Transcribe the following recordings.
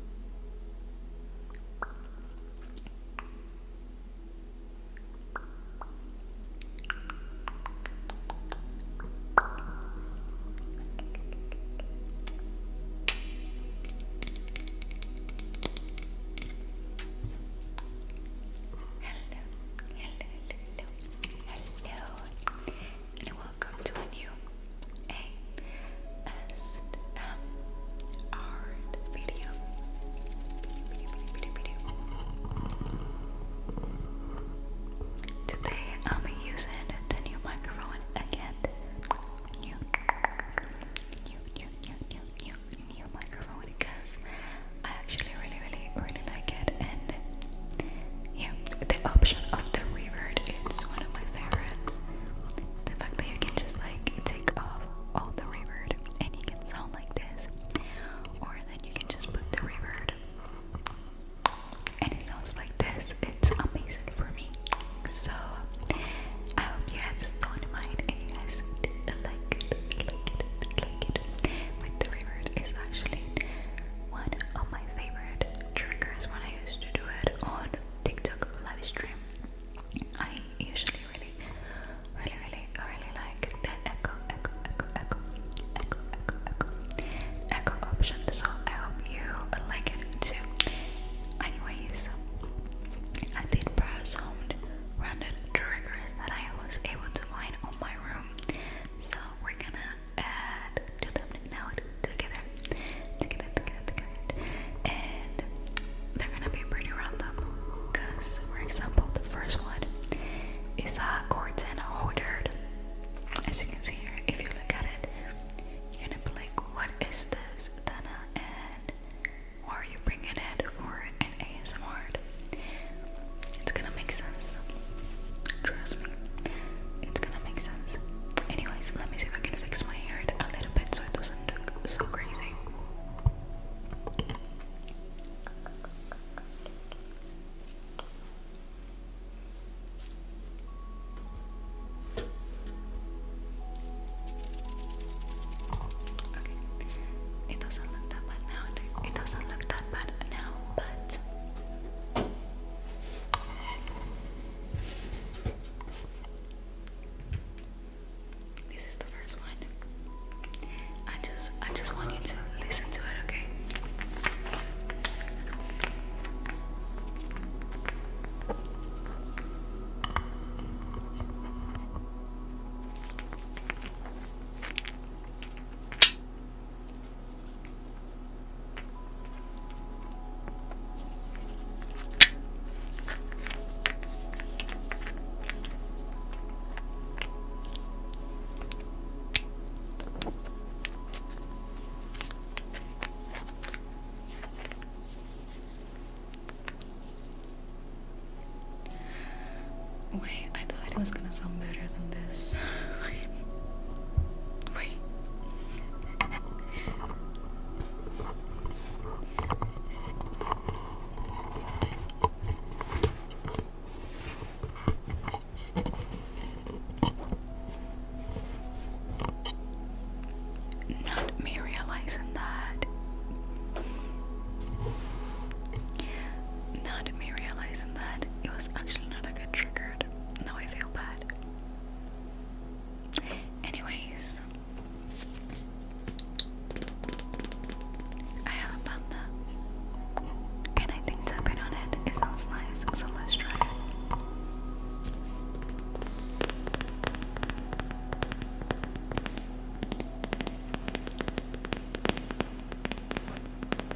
hello, hello, hello, and welcome to a new ASMR video. Today I'm using the new microphone again. new, new, new, new, new, new microphone because I actually really, really, really like it and here, the option of the revert is one of my favorites. The fact that you can just like take off all the reverb and you can sound like this, or then you can just put the reverb and it sounds like this. It's amazing for me. So I hope you guys don't mind and you guys like like like the reverb is actually one of my favorite triggers when I used to do it on TikTok live I usually really, really, really, really like the echo, echo, echo, echo, echo, echo, echo, option. So I hope you like it too. Anyways, I did browse some random triggers that I was able to find on my room. So we're gonna and do them now together, together, together, together. And they're gonna be pretty random, cause for example, the first one is a Gordon Hodard. As you can see here, if you look at it, you're gonna be like, "What is this, Dana?" And are you bringing it for an ASMR? It's gonna make sense. Trust me. It's gonna make sense. Anyways, let me see if I can fix my hair a little bit so it doesn't look so crazy. Okay. It doesn't look that bad now. It doesn't look that bad now, but this is the first one. I just I just want you to listen to it, okay? Wait, I thought it was gonna sound better than this. Wait. Not me realizing that. Not me realizing that it was actually not a good trigger. Now I feel bad. Anyways, I have a panda, and I think tapping on it, sounds nice, so let's try it.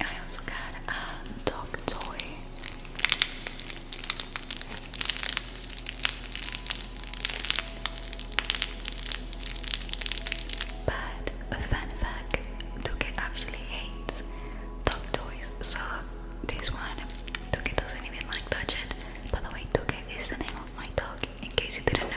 I also got a dog toy. But a fun fact, Tuke actually hates dog toys, so this one, Tuke doesn't even like touch it. By the way, Tuke is the name of my dog in case you didn't know.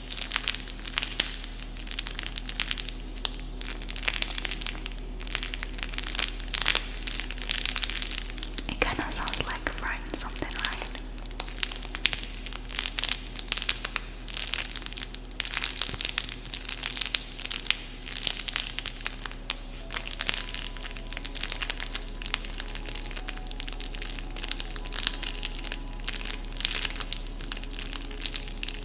It kind of sounds like writing something, right?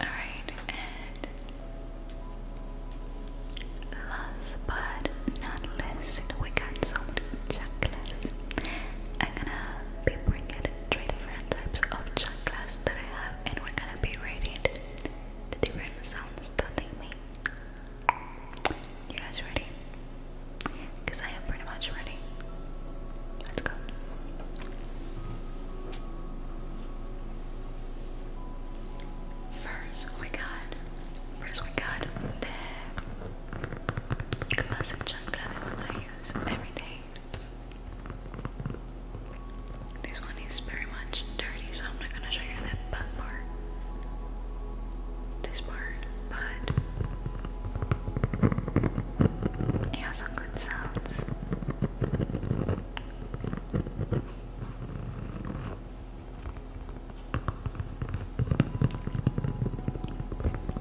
All right, and last but not least, we got some chocolates. I'm gonna be bringing three different types of chakras that I have, and we're gonna be reading the different sounds that they make. You guys ready? Because I am pretty much ready. Let's go. First, we got. First, we got the classic chakra that I use every day. This one is very much dirty, so I'm not gonna show you that butt part. This part, but it has some good sounds.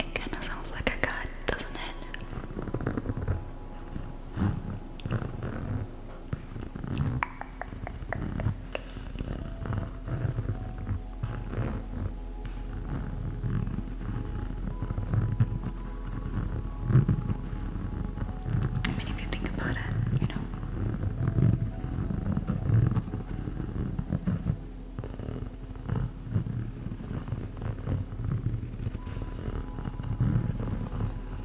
It kind of sounds like a god, doesn't it? I mean, if you think about it, you know.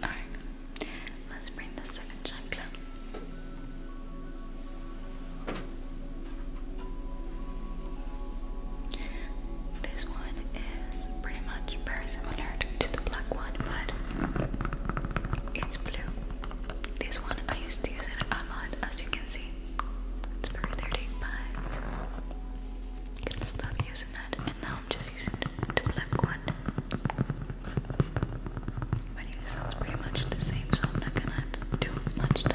Alright, let's bring the second chakra. This one is pretty much very similar to the black one, but it's blue. This one I used to use it a lot, as you can see. It's for 30 bucks. I'm gonna stop using that, and now I'm just using the black one. My name sounds pretty much the same, so I'm not gonna do much time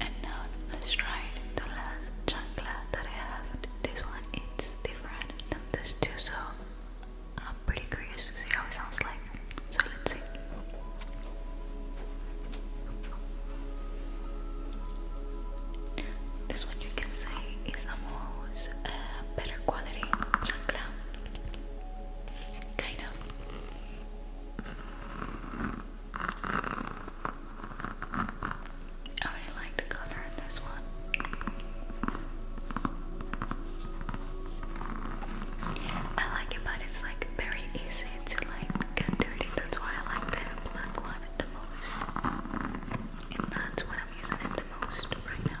And now let's try the last chancla that I have. This one it's different than these two, I'm pretty curious to see how it sounds like. So let's see. This one you can say is almost uh, better quality chancla. Kind of. I really like the color in this one. I like it, but it's like very easy to like get dirty. That's why I like the black one the most, and that's what I'm using it the most right now.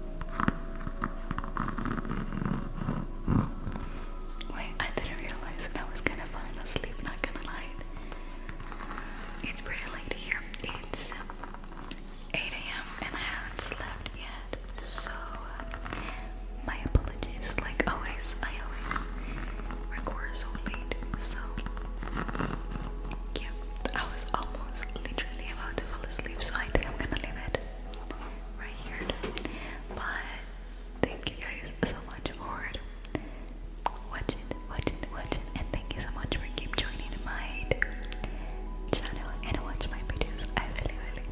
Wait, I didn't realize that I was kind of falling asleep, not gonna lie. It's pretty late here. It's 8 a.m. and I haven't slept yet. So, uh, my apologies. Like always, I always record so late. So, yeah, I was almost literally about to fall asleep. So, I think I'm gonna leave it right here. But thank you guys so much for watching, watching, watching, and thank you so much for keep joining my channel and watch my videos. I really, really,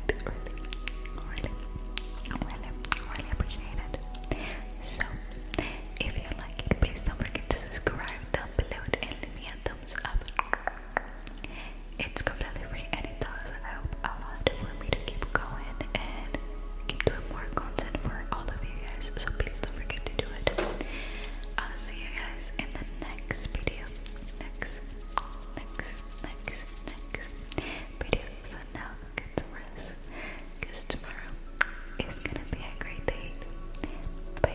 really, really, really, appreciate it. So, if you like it, please don't forget to subscribe down and leave me a thumbs up. It's completely free and it does help a lot for me to keep going and keep doing more content for all of you guys. So please don't forget to do it. I'll see you guys in the next video. Next, next, next, next video. So now get some rest. tomorrow is gonna be a great day. bye.